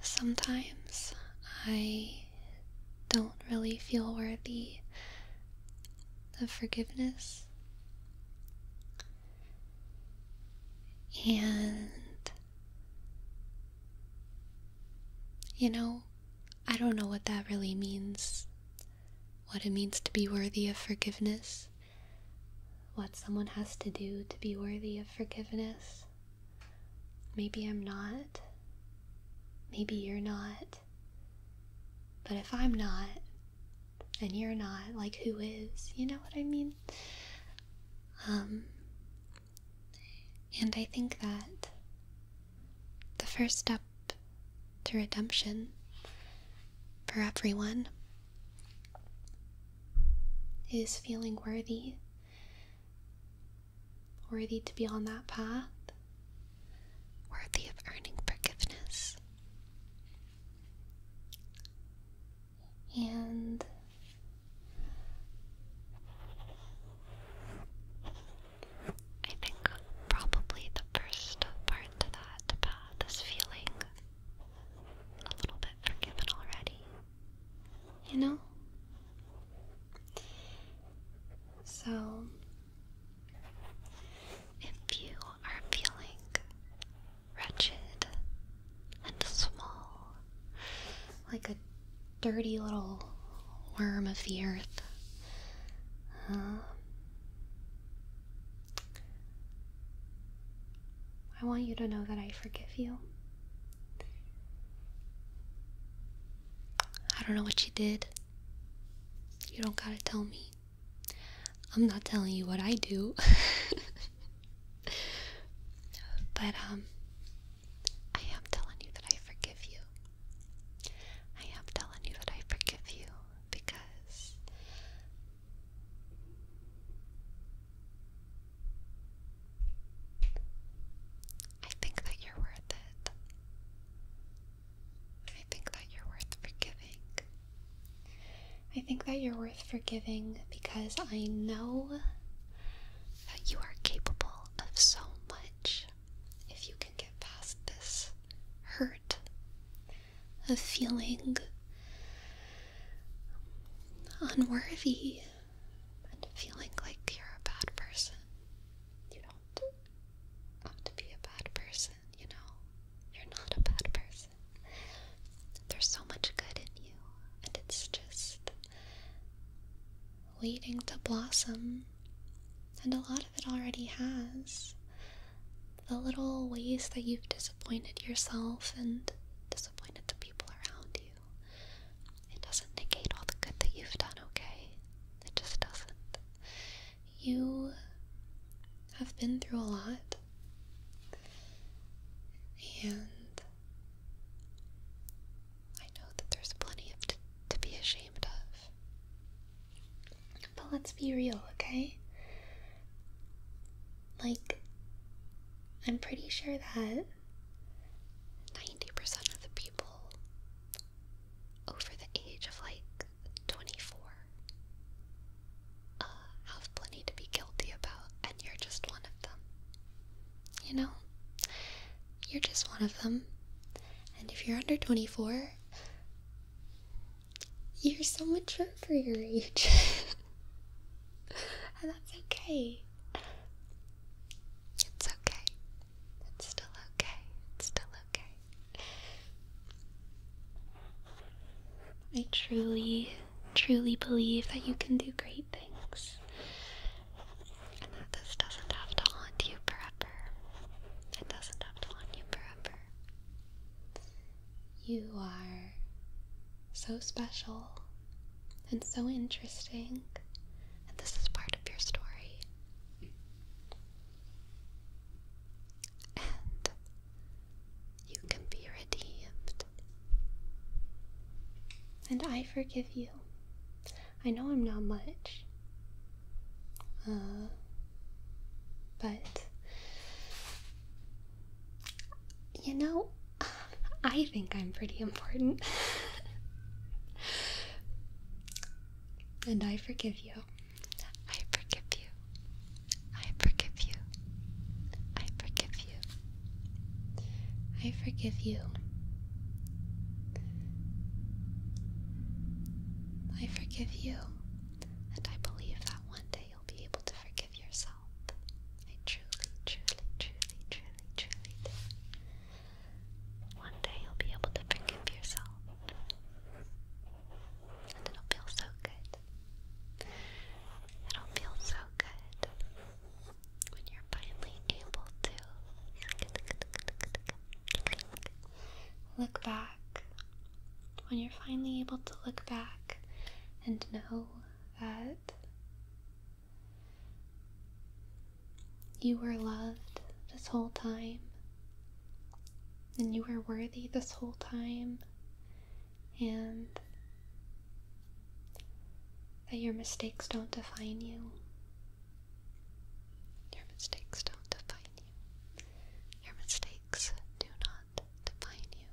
Sometimes I don't really feel worthy of forgiveness. And, you know, I don't know what that really means. What it means to be worthy of forgiveness. What someone has to do to be worthy of forgiveness. Maybe I'm not. Maybe you're not. But if I'm not, and you're not, like who is? You know what I mean? Um, and I think that the first step to redemption for everyone is feeling worthy worthy to be on that path, worthy of earning forgiveness. And I think probably the first part to that path is feeling a little bit forgiven already you know? So, if you are feeling wretched and small, like a dirty little worm of the earth, um, I want you to know that I forgive you. I don't know what you did. You don't gotta tell me. I'm not telling you what I do. but, um, I am telling you that I forgive you. I am telling you that I forgive you because I think that you're worth it. I think that you're worth forgiving. I think that you're worth forgiving because I know that you are capable of so much if you can get past this hurt of feeling unworthy and feeling like you're a bad person. You don't have to be a bad person, you know? You're not a bad person. There's so much good in you, and it's just waiting to blossom. And a lot of it already has. The little ways that you've disappointed yourself and disappointed the people around you. It doesn't negate all the good that you've done, okay? It just doesn't. You have been through a lot, and I know that there's plenty of to be ashamed of. But let's be real, okay? Like, I'm pretty sure that 90% of the people over the age of like 24 uh, have plenty to be guilty about, and you're just one of them. You know? You're just one of them. And if you're under 24, you're so mature for your age. and that's okay. It's okay. It's still okay. It's still okay. I truly, truly believe that you can do great things. And that this doesn't have to haunt you forever. It doesn't have to haunt you forever. You are so special and so interesting, and this is part of your story. And you can be redeemed. And I forgive you. I know I'm not much, uh, but you know, I think I'm pretty important. and I forgive you. I forgive you. I forgive you. I forgive you. I forgive you. I forgive you. And I believe that one day you'll be able to forgive yourself. One day you'll be able to forgive yourself. And it'll feel so good. It'll feel so good when you're finally able to look back. When you're finally able to look back and know that you were loved this whole time, and you were worthy this whole time, and that your mistakes don't define you. Your mistakes don't define you. Your mistakes do not define you.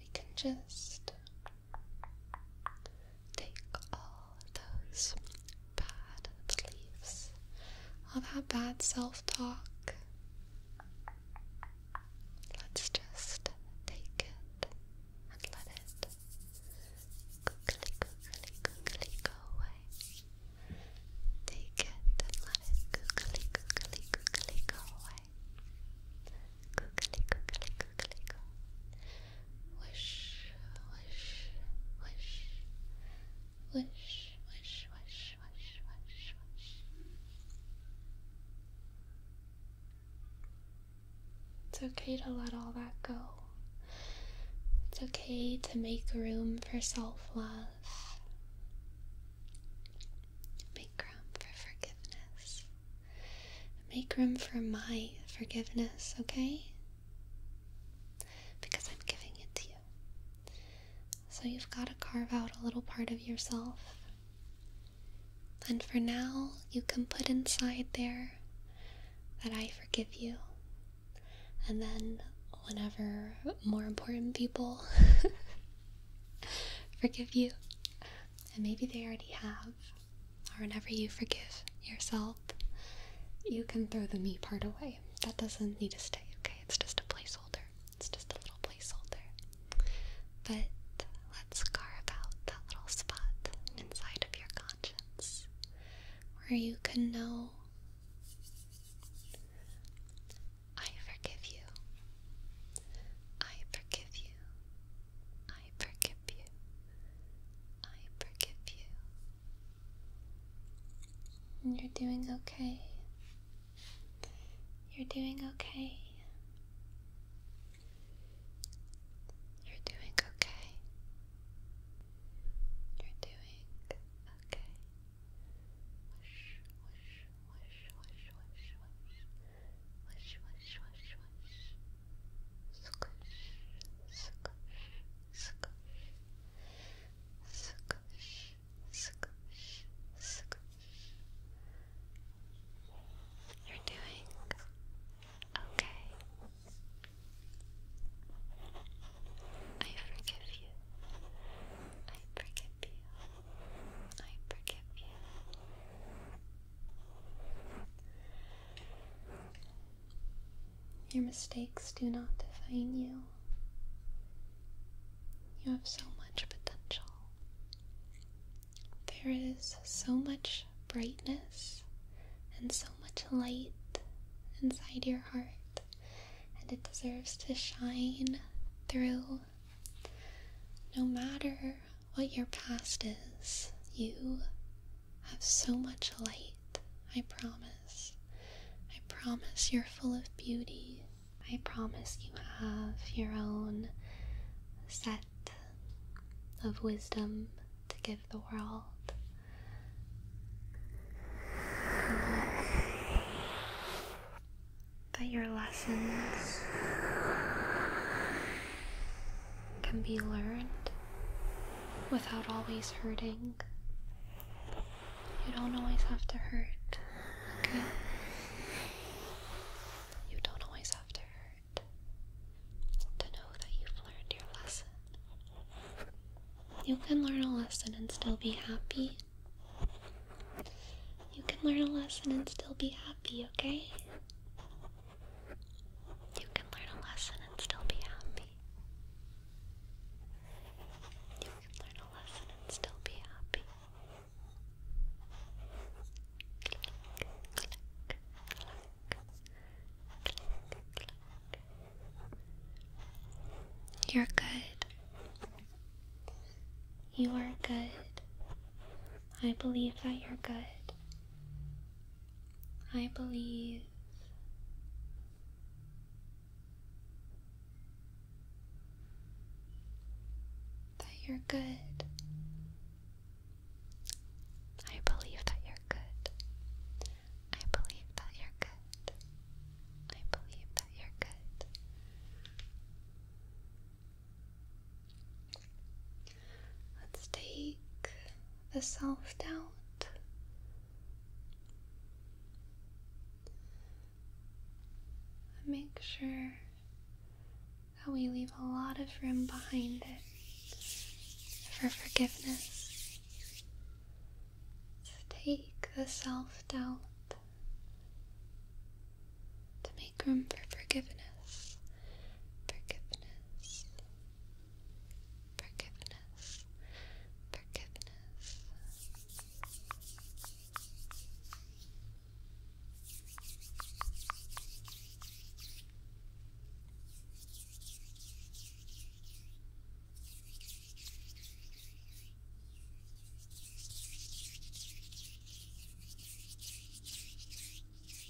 We can just Take all those bad beliefs, all that bad self talk. Let's just take it and let it go away. Take it and let it go away. Googly, googly, googly, go. Wish, wish, wish, wish, wish, wish, wish, wish, wish. It's okay to let all that go. It's okay to make room for self love. Make room for forgiveness. Make room for my forgiveness, okay? Because I'm giving it to you. So you've got to carve out a little part of yourself. And for now, you can put inside there that I forgive you. And then, whenever more important people forgive you, and maybe they already have, or whenever you forgive yourself, you can throw the me part away. That doesn't need to stay, okay? It's just a placeholder. It's just a little placeholder. But let's carve out that little spot inside of your conscience where you can know I forgive you. I forgive you. I forgive you. I forgive you. you're doing okay. You're doing okay. You're doing okay. You're doing okay. Whoosh, whoosh, whoosh, whoosh. Squish, squish, squish. Squish, squish, squish. You're doing okay. I forgive you. I forgive you. I forgive you. Your mistakes do not define you. You have so much potential. There is so much brightness and so much light inside your heart, and it deserves to shine through no matter what your past is. You have so much light, I promise. I promise you're full of beauty. I promise you have your own set of wisdom to give the world. That your lessons can be learned without always hurting. You don't always have to hurt, You don't always have to hurt to know that you've learned your lesson. You can learn a lesson and still be happy. You can learn a lesson and still be happy, okay? You can learn a lesson and still be happy. You can learn a lesson and still be happy. You're good. You are good. I believe that you're good. I believe that you're good. I believe that you're good. I believe that you're good. I believe that you're good. Let's take the self doubt. Make sure that we leave a lot of room behind it for forgiveness. Let's take the self doubt to make room for forgiveness forgiveness, forgiveness, forgiveness. Forgiveness, Relax, relax,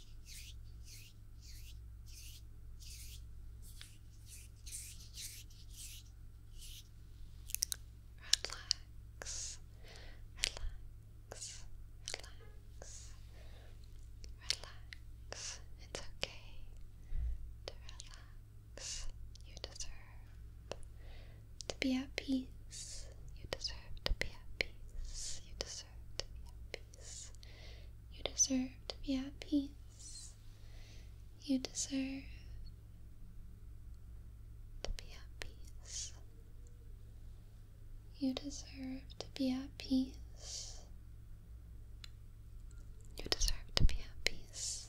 relax, relax. It's okay to relax. You deserve to be at peace. You deserve to be at peace. You deserve deserve to be at peace. You deserve to be at peace. You deserve to be at peace. You deserve to be at peace. You deserve to be at peace.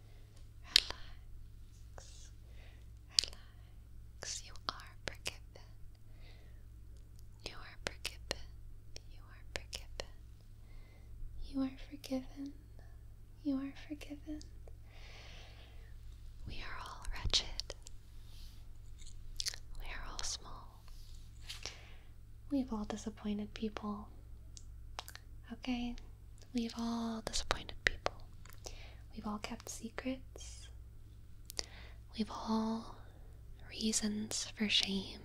Relax. Relax. You are forgiven. You are forgiven. You are forgiven. You are forgiven. You are forgiven. We are all wretched. We are all small. We've all disappointed people. Okay? We've all disappointed people. We've all kept secrets. We've all reasons for shame.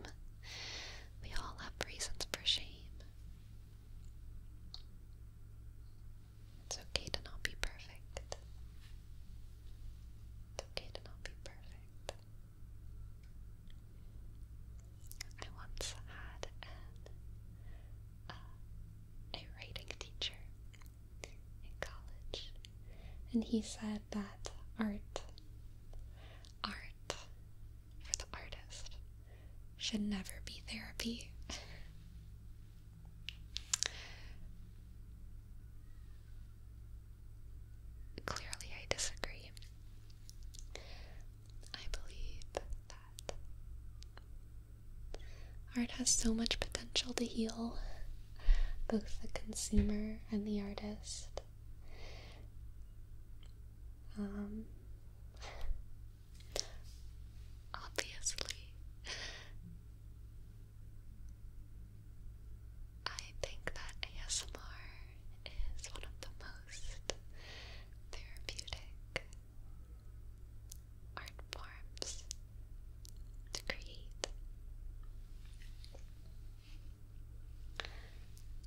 We all have reasons for shame. It's okay to not be perfect. It's okay to not be perfect. I once had uh, a writing teacher in college, and he said that art, art for the artist, should never be therapy. Clearly, I disagree. I believe that art has so much potential to heal both the consumer and the artist. Um, obviously, I think that ASMR is one of the most therapeutic art forms to create.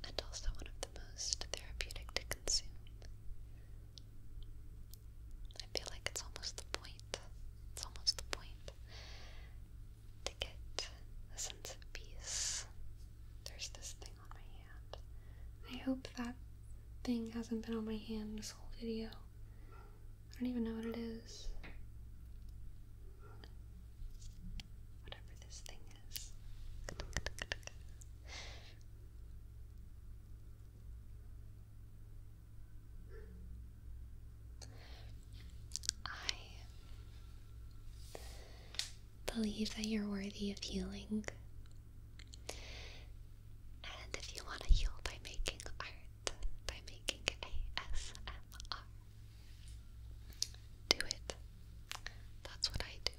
And also one of the most therapeutic to consume. I feel like it's almost the point. It's almost the point to get a sense of peace. There's this thing on my hand. I hope that thing hasn't been on my hand this whole video. I don't even know what it is. Whatever this thing is. I believe that you're worthy of healing. And if you want to heal by making art, by making ASMR, do it. That's what I do.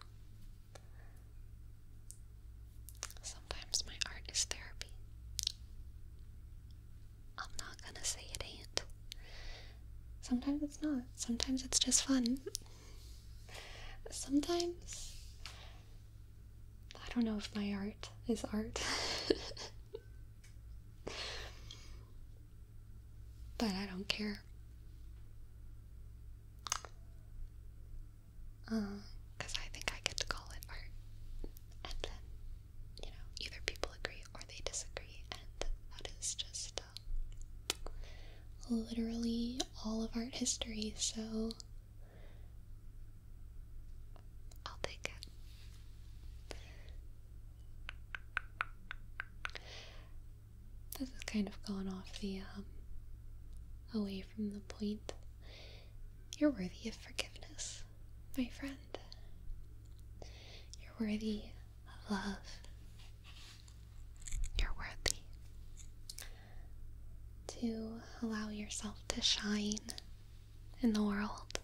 Sometimes my art is therapy. I'm not gonna say it ain't. Sometimes it's not. Sometimes it's just fun. Sometimes I don't know if my art is art. but I don't care. Because uh, I think I get to call it art. And then, you know, either people agree or they disagree, and that is just. Uh, literally all of art history, so I'll take it. This has kind of gone off the, um, away from the point. You're worthy of forgiveness, my friend. You're worthy of love. You're worthy to allow yourself to shine in the world.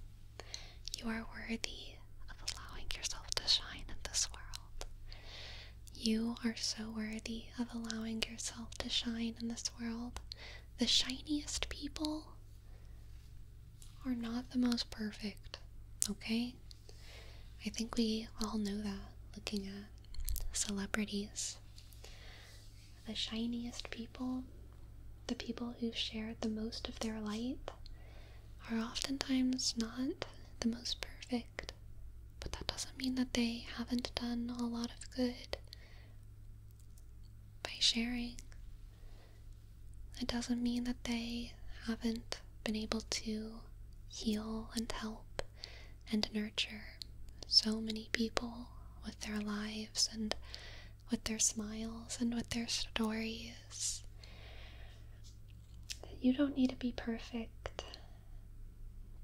You are worthy of allowing yourself to shine in this world. You are so worthy of allowing yourself to shine in this world. The shiniest people are not the most perfect, okay? I think we all know that looking at celebrities. The shiniest people, the people who share the most of their light, are oftentimes not the most perfect, but that doesn't mean that they haven't done a lot of good by sharing. It doesn't mean that they haven't been able to heal and help and nurture so many people with their lives and with their smiles and with their stories. You don't need to be perfect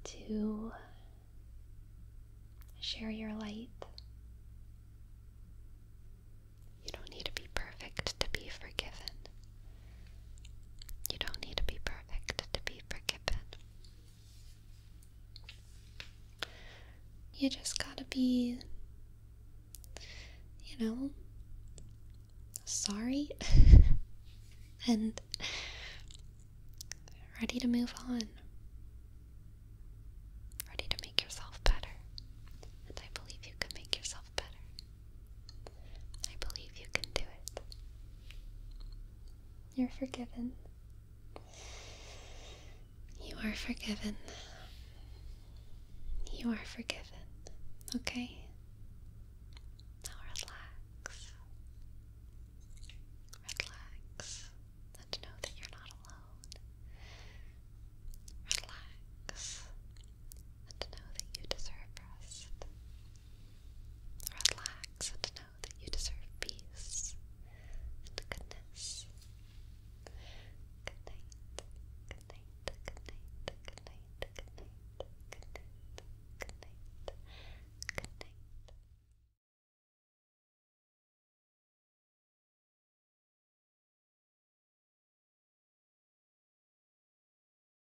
to share your light. You don't need to be perfect to be forgiven. You don't need to be perfect to be forgiven. You just gotta be, you know, sorry and ready to move on. Ready to make yourself better. And I believe you can make yourself better. I believe you can do it. You're forgiven. You are forgiven. You are forgiven. Okay? Now relax. Relax. And know that you're not alone. Relax. And know that you deserve rest. Relax and know that you deserve peace and goodness. Good night. Good night. Good night. Good night. Good night. Good night. Good night. Good night.